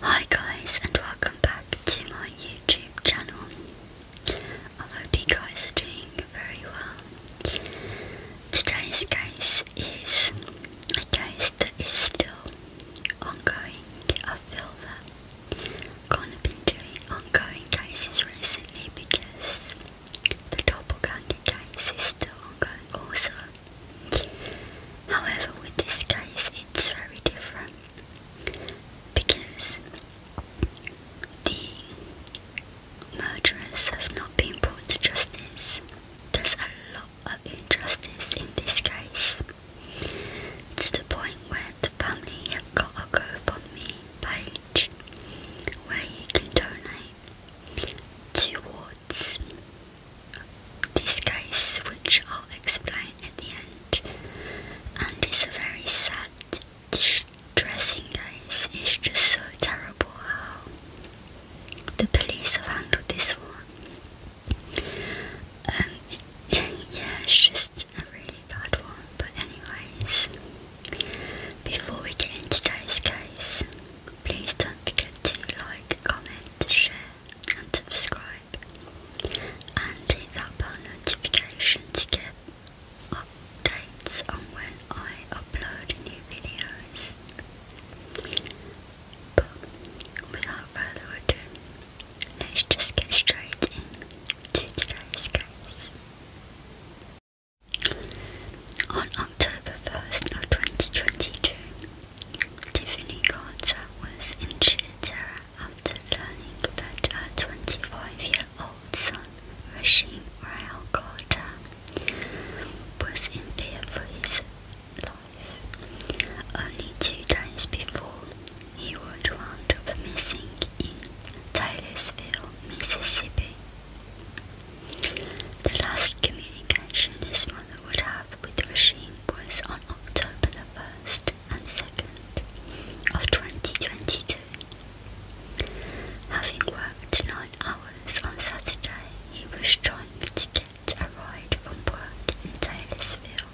Hi guys and welcome back to my YouTube channel. I hope you guys are doing very well. Today's case is a case that is still ongoing. I feel that I've kind doing ongoing cases recently because the doppelganger case is still ongoing also. However, with this case, it's very different because the murderers have not been brought to justice. There's a lot of injustice in this case to the point where the family have got a GoFundMe page where you can donate towards this case, which I'll explain at the end. And it's a very sad, distressing case. It's just so terrible how the police have handled this one. Um, yeah, it's just a really bad one. But anyways, before we get into today's case, please don't forget to like, comment, share and subscribe and hit that bell notification to get updates on when I upload new videos. But without further ado, let's just get straight into today's case. On October 1st of 2022, Tiffany Carter was in sheer after learning that her 25-year-old son, Rashim Rao Carter, was in fear for his life. Only two days before, he would wound up missing in Tylersville, Mississippi. The last communication his mother would have with Rashim was on October the 1st and 2nd of 2022. Having worked 9 hours on Saturday, he was trying to get a ride from work in Taylorsville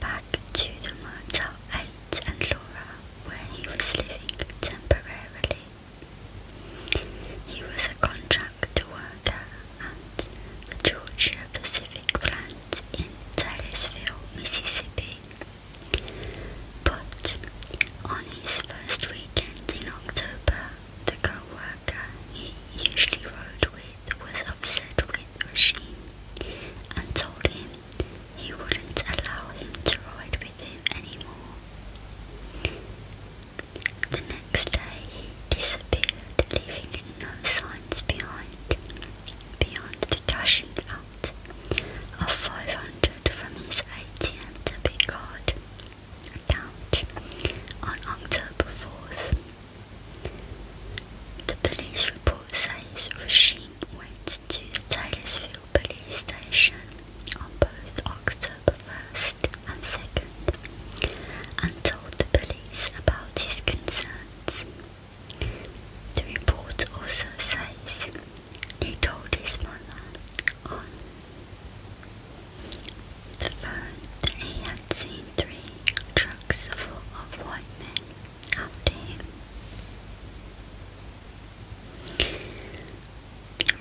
back to the Motel 8 and Laura where he was living temporarily. He was a contract back to work the Georgia Pacific plant in Titusville, Mississippi. But on his first weekend in October, the coworker he usually rode with was upset with Rashim and told him he wouldn't allow him to ride with him anymore next day he disappeared, leaving no signs behind. Beyond the cashing out of 500 from his ATM debit card account on October 4th. The police report says Rasheen went to the Taylorsville police station on both October 1st and 2nd and told the police about his concerns. The report also says he told his mother on the phone that he had seen three trucks full of white men after him.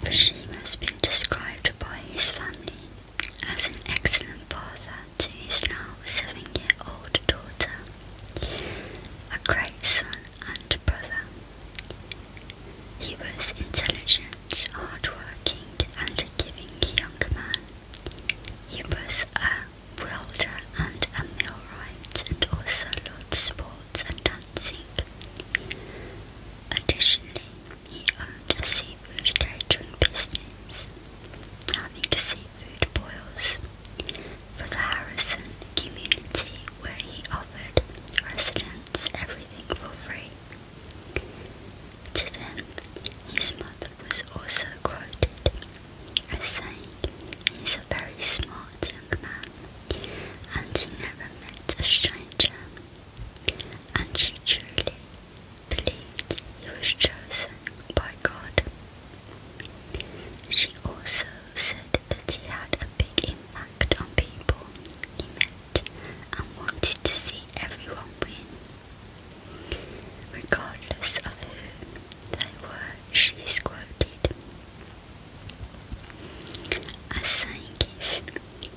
Rashim has been described by his family as an excellent father to his now seven-year-old daughter, a great son and brother. He was intelligent, hard-working, and a giving young man. He was a welder and a millwright, and also loved sports and dancing. Additionally, he owned a seafood catering business having seafood boils for the Harrison community where he offered residents everything for free. To them, his mother was also quoted as saying, he's a very smart young man and he never met a stranger. And she truly believed he was chosen by God. She also said that he had a big impact on people he met and wanted to see everyone win. Regardless of who they were, she is quoted as saying if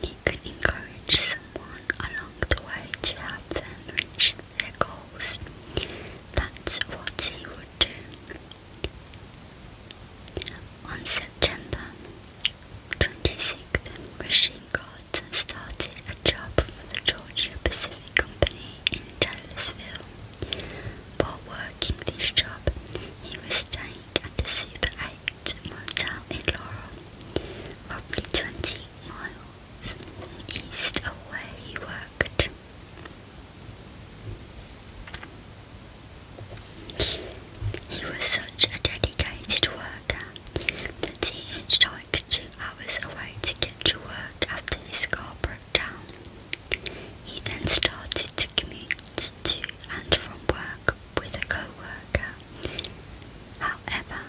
he could encourage someone along the way to help them reach their goals. That's what he would do. On September 26th, Rashid Carlton started a job for the Georgia Pacific Company in Douglasville. While working this job, he was staying at the Super 8 Motel in Laurel, roughly 20 miles east of he worked. He was such a dedicated worker that he had to hitchhiked two hours away to get to work after his car broke down. He then started to commute to and from work with a co-worker However,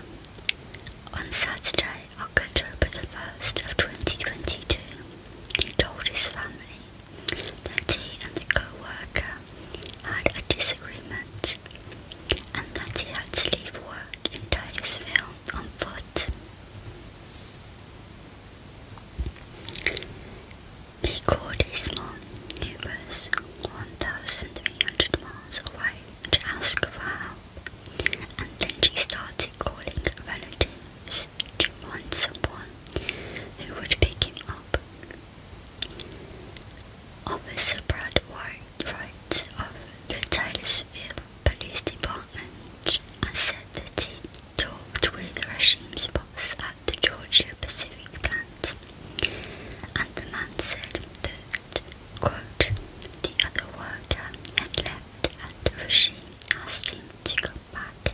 on Saturday, October the 1st of 2022, he told his family that he and the coworker had a disagreement and that he had to leave work in Titusville on foot. He called his mom, who was 1,300 miles away, to ask for her and then she started calling relatives to find someone who would pick him up. Officer Brad White, Wright of the Taylorsville Police Department, said that he talked with Rashim's boss at the Georgia Pacific plant, and the man said that the other worker had left and Rishi asked him to go back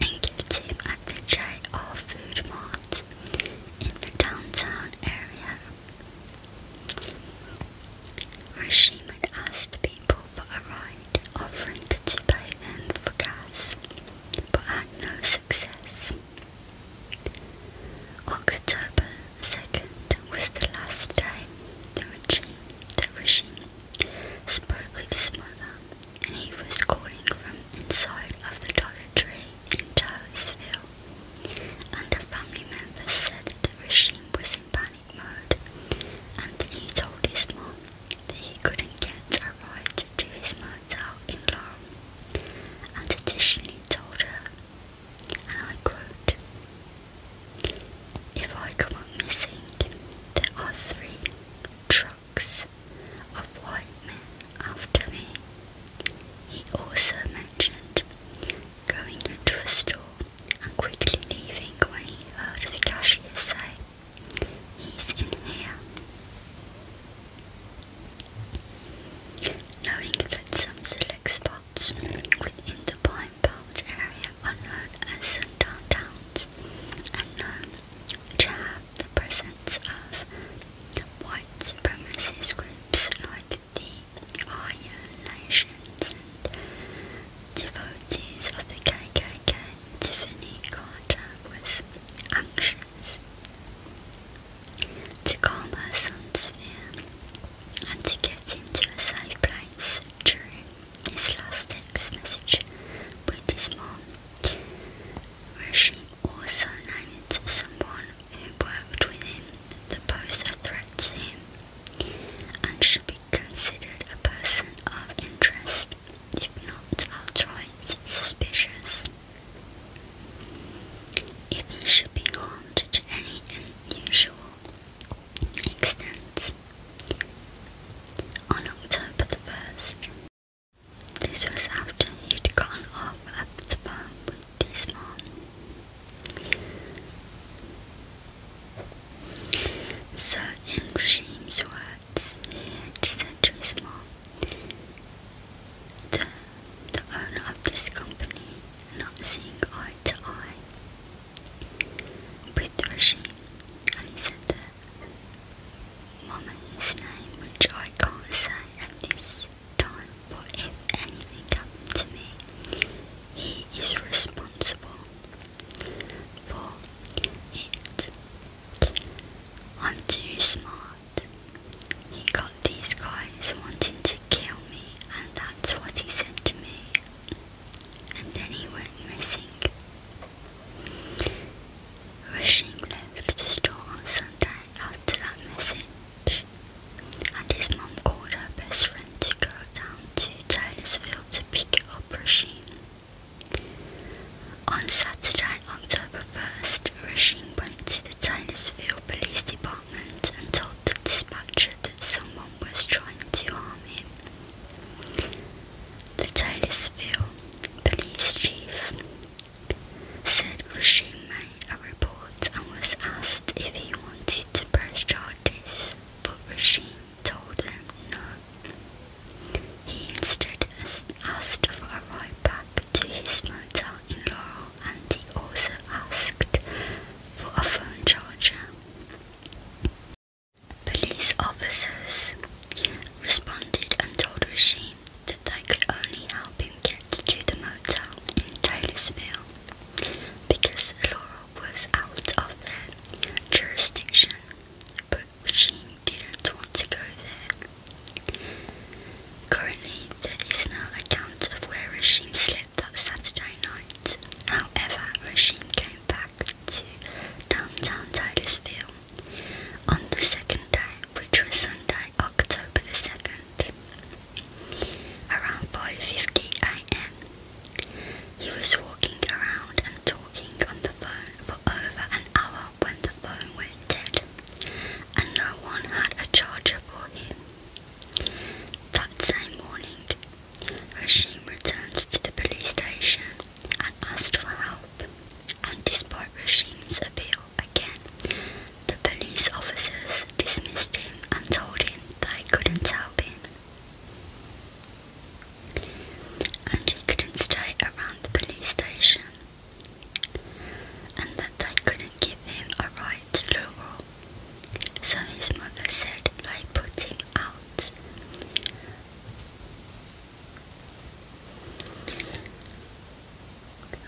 and get him at the J.R. Food Mart in the downtown area. Rishi had asked people for a ride, offering to pay them for gas, but had no success. October the second was the last time that regime, the regime spoke with his mother, and he was calling from inside of the Dollar Tree in Charlottesville. And the family members said the regime was in panic mode, and that he told his mom that he couldn't get her ride to his mother in law, and additionally told her if I come up missing, there are three trucks of white men after me. He also mentioned going into a store and quickly leaving when he heard the cashier say, He's in here. Knowing that some select spies within the Pine Belt area are known as sundown to have the presence of white supremacist groups like the Aryan Nations and devotees of the KKK. Tiffany Carter was anxious to calm her son's fear and to get into a safe place during his last text message with his mom. she also named someone who worked with him that posed a threat to him and should be considered a person of interest, if not outright suspicious. If he should be harmed to any unusual extant on October the 1st. This was after he'd gone off at the farm with his mom. So, in Rashim's words, he had said to the, the owner of this company, not seeing eye to eye, with Rishi, and said that his name, which I can't say at this time, but if anything happened to me, he is responsible for it. I'm too smart. He got these guys wanting to kill me, and that's what he said to me and then he went missing. Rushing left the store on Sunday after that message, and his mom called her best friend to go down to Taylorsville to pick up Rushing. On Saturday, October 1st, Rushing went to the Taylorsville Police Department and told the dispatcher that someone was trying to harm him. The Taylorsville police chief said Rashid made a report and was asked if he wanted to press charges, but Rashid told them no. He instead asked for a ride back to his motel in Laurel and he also asked for a phone charger. Police officers responded and told Rashim that they could only help him get to the motel in Taylorsville because Laurel was out of their jurisdiction, but Rashim didn't want to go there. Currently, there is no account of where Rashim slept that Saturday night. However, Rashim came back to downtown Titusville on the second day, which was Sunday, October the 2nd, around 5.50 am. He was walking around and talking on the phone for over an hour when the phone went dead and no one had a charger for him. That same morning, Rashim returned to the police station and asked for help, and despite Rashim's appeal again, the police officers dismissed him and told him they couldn't help him. And he couldn't stay around the police station, and that they couldn't give him a right to the law so his mother said, like, put him out.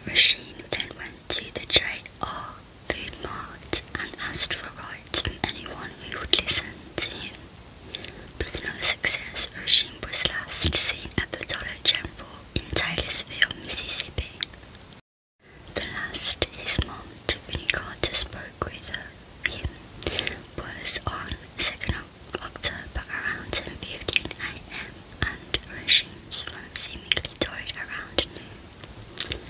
Rasheen then went to the J.R. Food Mart and asked for rides from anyone who would listen to him. but no success, Rasheen was last seen at the Dollar General in Taylorsville, Mississippi. The last his mom, Tiffany Carter, spoke with uh, him was on 2nd October around 10.15am and Rashim's phone seemingly toyed around noon.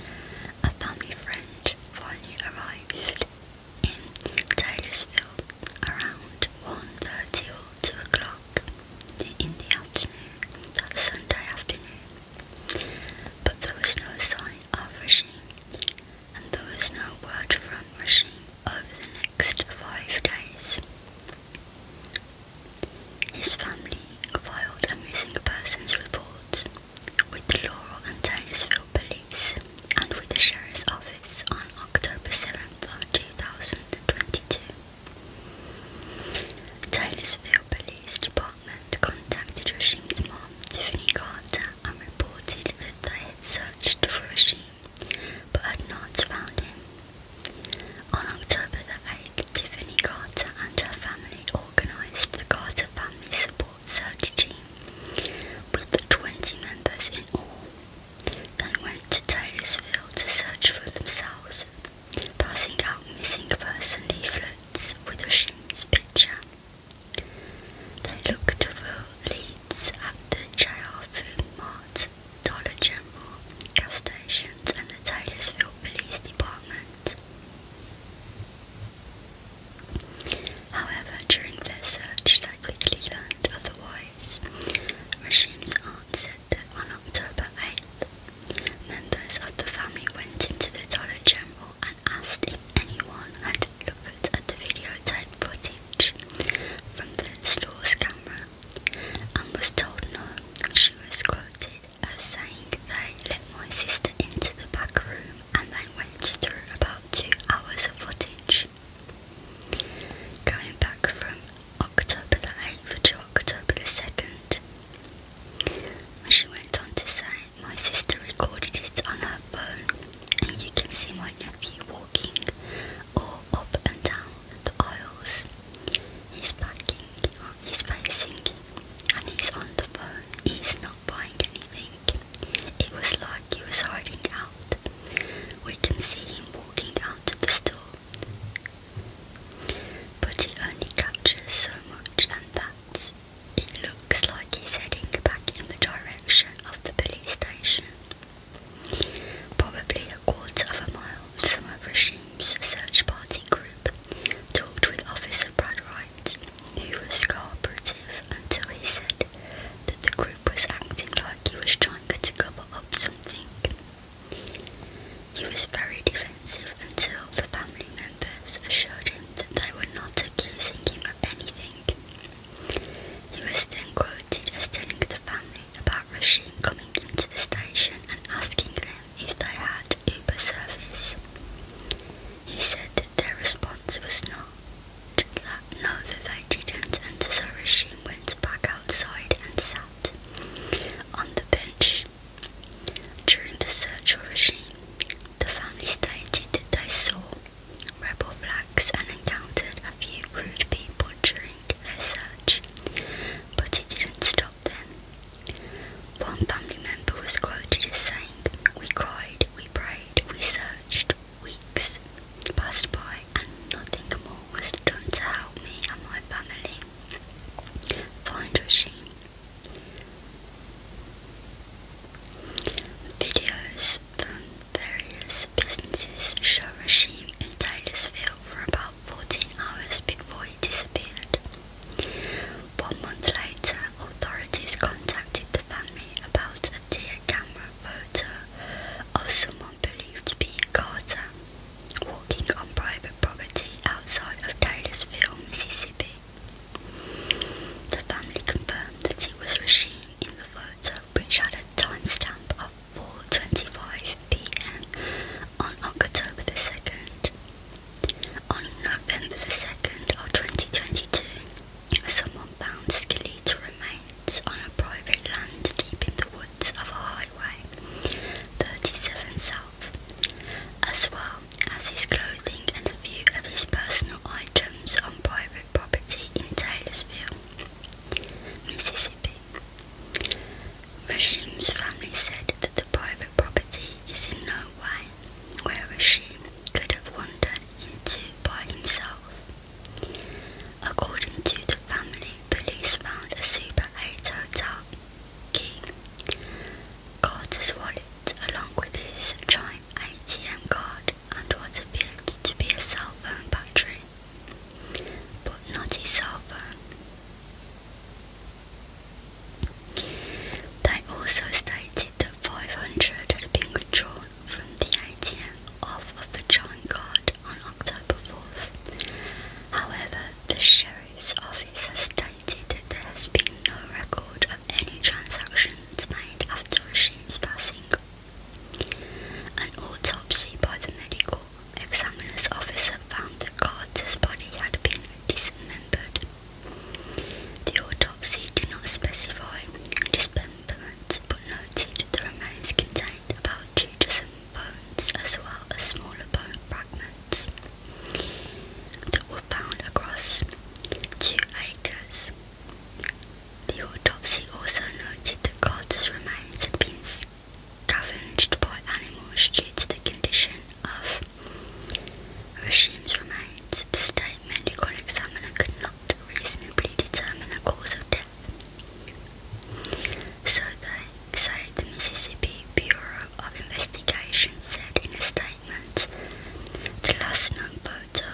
A family friend finally arrived in Taylorsville around 1.30 or 2 o'clock in the afternoon that Sunday afternoon but there was no sign of Rashim, and there was no word from Rashim over the next five days. His family filed a missing persons report with the Laurel and Taylorsville Police and with the Sheriff's Office on October 7th of 2022. Taylorsville Police Department had contacted Rashim's mom, Tiffany Carter, and reported that they had searched for Rashim but had not found him. On October the 8th, Tiffany Carter and her family organised the Carter Family Support Search Team with 20 members in all. They went to Taylorsville to search for themselves, passing out missing person leaflets with Rashim's picture. They looked for leads at the JR Food Mart, Dollar General, gas stations and the Taylorsville Police Department. However, during their search they quickly learned otherwise. Rashim's aunt said that on October 8th, members of the family went into the Dollar General asked if anyone had looked at the videotape footage from the store's camera and was told no. She was quoted as saying they let my sister into the back room and they went through about two hours of footage. Going back from October the 8th to October the 2nd, she went on to say my sister recorded it on her phone, and you can see my nephew walking all up and down the aisles. He's packing, he's pacing, and he's on the phone. He's not buying anything. It was like he was hiding out. We can see him walking out to the store. But it only captures so much, and that's it looks like he's heading back in the direction of the police station. Probably a quarter of a mile, some of Rashim's search party group talked with Officer Brad Wright, who was cooperative until he said that the group was acting like he was trying to cover up something. He was very defensive until the family members assured him that they were not accusing him of anything. He was then quoted as telling the family about Rashim coming into the station and asking them if they had Uber service. He said that their response was no, that no that they didn't and so Rashim went back outside and sat on the bench. During the search for Rashim, the family stated that they saw rebel flags and encountered a few crude people during their search, but it didn't stop them. One family member was quoted as saying, We cried, we prayed, we searched, weeks passed by, and nothing more was done to help me and my family. Find Rasheen. Videos from various businesses show Rashim in Taylorsville for about 14 hours before he disappeared. One month later, authorities contacted the family about a deer camera photo of someone believed to be Carter walking on private property outside of Taylorsville, Mississippi. The family confirmed that he was Rashid in the photo, which had a timestamp of 4.25 pm on October the 2nd. On November the 2nd of 2022, someone found skeletal remains on a private land deep in the woods of a highway, 37 South, as well as his clothing and a few of his personal items on private property in Taylorsville, Mississippi. Rashim's family said that the private property is in no way where Rashim could have wandered into by himself. According to the family, police found a Super 8 hotel Carter's wallet, along with his China ATM card and what appeared to be a cell phone battery, but not a cell phone. They also stated that 500 had been withdrawn from the ATM off of the drawing card on October 4th. However, the sheriff's office has stated that there has been no record of any transaction inspired after Hashim's passing. An autopsy by the medical examiner's officer found that Carter's body had been dismembered. The autopsy did not specify dismemberment but noted the remains contained about two dozen bones as well as smaller bone fragments that were found across two the autopsy also noted that Carter's remains had been scavenged by animals due to the condition of Rashim's remains. The state medical examiner could not reasonably determine a cause of death. So they say the Mississippi Bureau of Investigation said in a statement the last known photo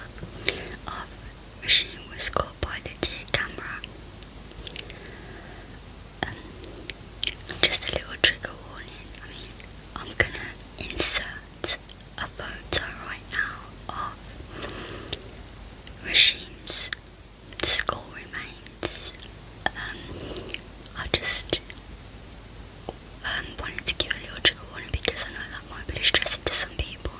of Regine was caught by the day camera. Um, just a little trigger warning. I mean, I'm gonna insert a photo right now of Regime's skull remains. Um, i just um, wanted to give a logical one because I know that might be distressing to some people.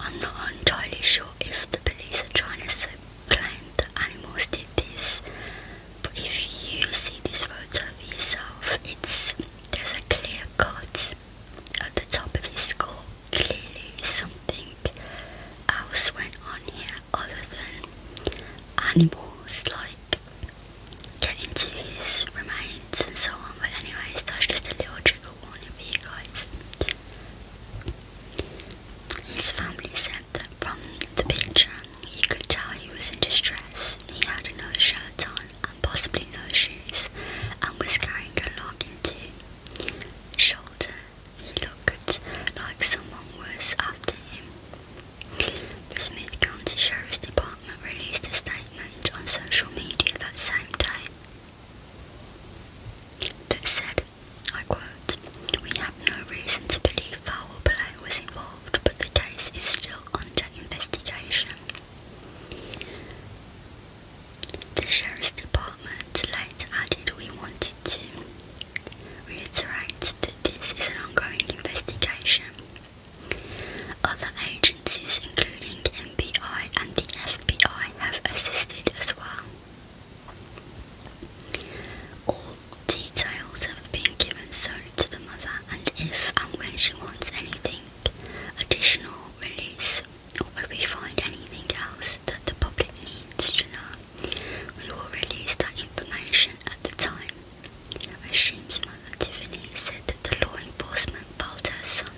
I'm not entirely sure if the police are trying to claim that animals did this, but if you see this photo for yourself, it's there's a clear cut at the top of his skull. Clearly, something else went on here other than animals. Like like get into his remains and so on. But anyways, that's just a little trigger warning for you guys. His family said that from the picture you could tell he was in distress. He had no shirt on and possibly no shoes and was carrying a log into shoulder. He looked like someone was after him. The Smith County Sheriff's Department released a statement on social media that same day that said, I quote, We have no reason to believe foul play was involved, but the case is still under investigation. The Sheriff's Department later added, We wanted to reiterate that this is an ongoing investigation other agencies, including MBI and the FBI, have assisted as well. All details have been given solely to the mother, and if and when she wants anything additional release or if we find anything else that the public needs to know, we will release that information at the time. Hashim's mother Tiffany said that the law enforcement found her son.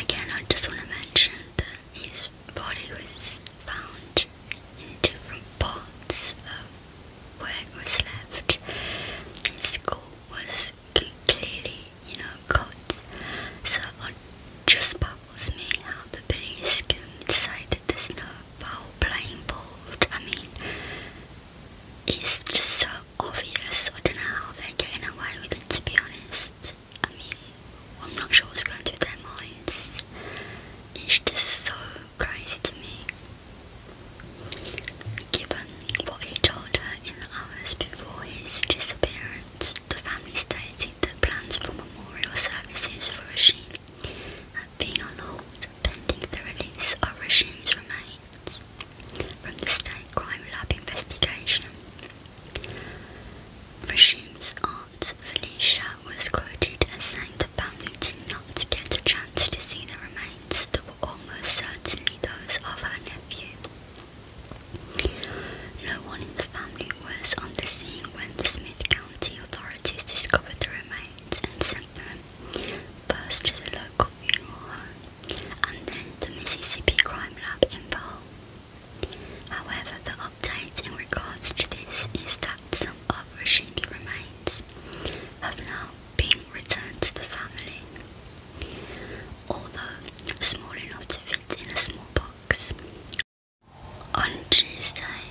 Again, I just want to mention that his body was found in different parts of where it was left. His skull was clearly, you know, cut. So it just baffles me how the police can decide that there's no foul play involved. I mean, it's just so obvious. I don't know how they're getting away with it, to be honest. I mean, I'm not sure what's going through their minds. It's just so crazy to me. Given what he told her in the hours before his disappearance, the family stated that plans for memorial services for Rashid have been on hold pending the release of regime's remains from the State Crime Lab investigation. Regime's aunt Felicia was quoted as saying the family did not get a chance to see the remains that were almost certainly those of her nephew. No one in the family was on the scene when the Smith County authorities discovered the remains and sent them first to the local funeral home and then the Mississippi Crime Lab in Powell. However, the update in regards to this is that some of Rashid's remains have now been returned to the family. Although small enough to fit in a small box, on Tuesday,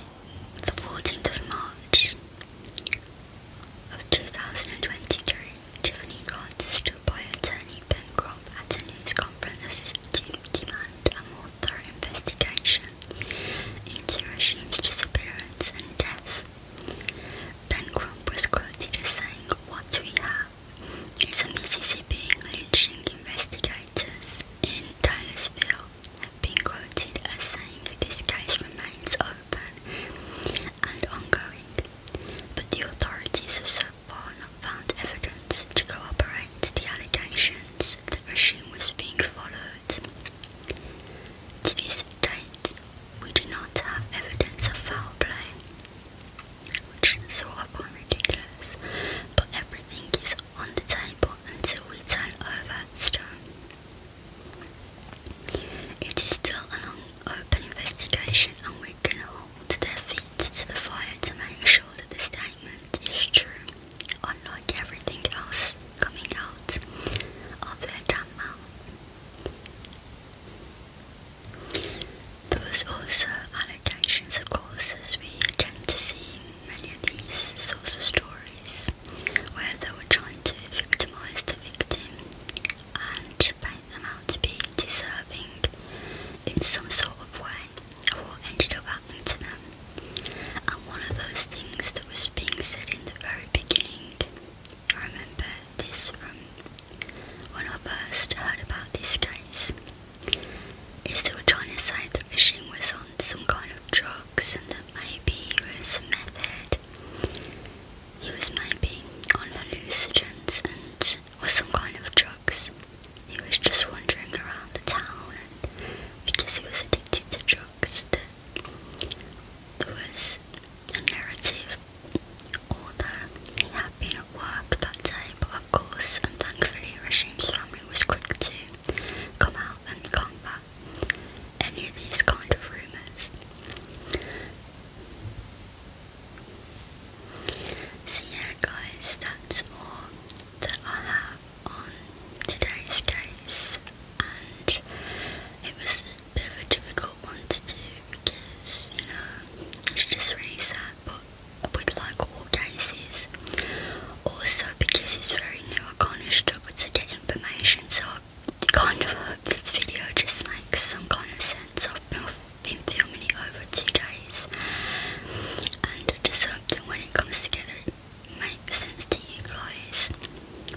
the 14th of March of 2023, Tiffany Gard stood by attorney Pencroff at a news conference to demand a more thorough investigation into Rashim's disappearance and death. Pencroff was quoted as saying, What we have is a Mississippi lynching investigators in Taylorsville have been quoted as saying this case remains open and ongoing, but the authorities have so far not found evidence to corroborate the allegations the regime was being followed. To this date, we do not have evidence of foul play, which is sort of ridiculous, but everything is on the table until we turn over stone. It is still an open investigation and we can hold their feet to the fire to make sure that the statement is true, unlike everything else coming out of their damn There was also allegations of course as we tend to see many of these sorts of stories where they were trying to victimize the victim and paint them out to be deserving in some sort of way of what ended up happening to them. And one of those things that was being said in the very beginning, I remember this from when I first heard about this case, is they were trying to say that Rishim was on some kind of drugs and that maybe he was a He was maybe on hallucinogens or some kind of drugs. He was just wandering around the town because he was addicted to drugs there was a narrative although he had been at work that day but of course and thankfully Rashim's family was quick to come out and combat any of these kind of rumours. So yeah guys, that's all that I have on today's case and it was a bit of a difficult one to do because, you know, it's just really sad but with like all cases, also, because it's very new, I can't struggle to get information, so I kind of hope this video just makes some kind of sense. I've been, filming it over two days, and I just hope that when it comes together, it makes sense to you guys.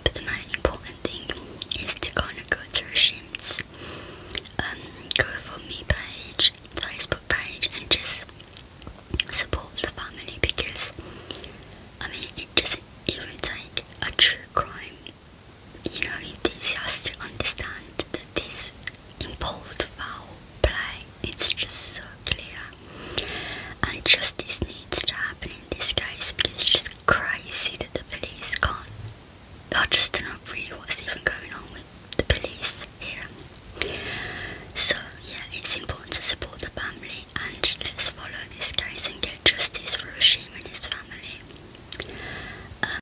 But the main important thing is to kind of go to Rashim's um, GoFundMe page, Facebook page, and just support the family because I mean, it doesn't even take a true crime, you know, enthusiast to understand that this involved foul play. It's just so clear, and justice needs to happen in this case. But it's just crazy that the police can't. I just don't know really what's even going on with the police here. So yeah, it's important to support the family and let's follow this case and get justice for Rashid and his family. Um,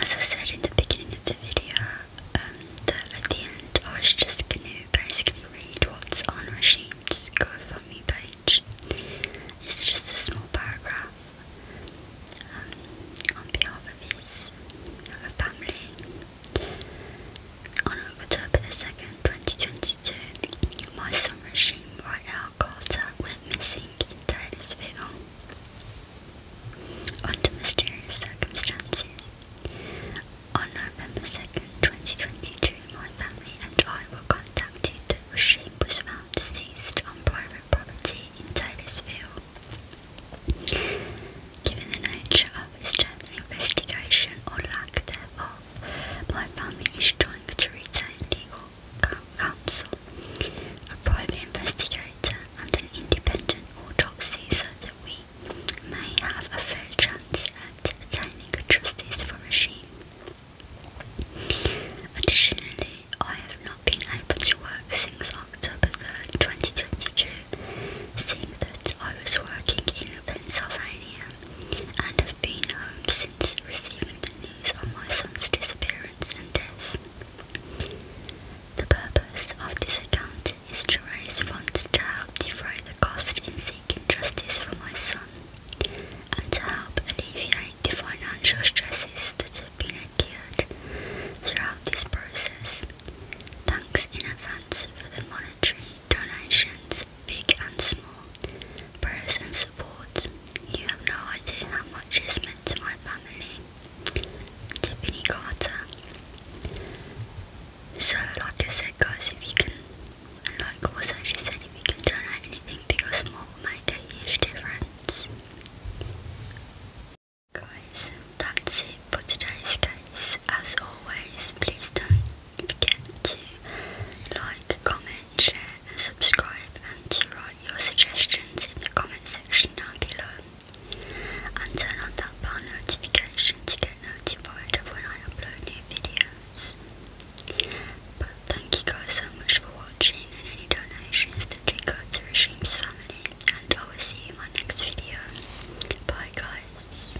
as I said in the beginning of the video, um, at the end I was just going to basically read what's on Hashim's GoFundMe page. It's just a small paragraph um, on behalf of his family. On October 2nd, 2022, my son Rashim Right went missing in Taylorsville under mysterious circumstances. On November 2nd, 2022, my family and I were contacted that Rashim was found deceased on private property in Taylorsville. Given the nature of his death investigation or lack thereof, my family is trying to retain legal counsel, a private investigator, and an independent autopsy so that we may have a fair chance at attaining a justice for Machine. Additionally, I have not been able to work since October 3rd, 2022, seeing that I was working in Pennsylvania and have been home since receiving the news of my son's disappearance and death. The purpose of this account is to raise funds to help defray the cost in seeking justice for my son and to help alleviate the financial stresses that have been incurred throughout this process. Thanks in advance for the monetary Donations, big and small, prayers and support. You have no idea how much it's meant to my family. Tiffany Carter. So, like I said, guys, if you can, like also she said, if you can donate anything big or small, will a huge difference. Guys, that's it for today's guys. As always, please don't forget to like, comment, share and subscribe and to write your suggestions in the comment section down below and turn on that bell notification to get notified of when I upload new videos. But thank you guys so much for watching and any donations that do go to Regim's family and I will see you in my next video. Bye guys.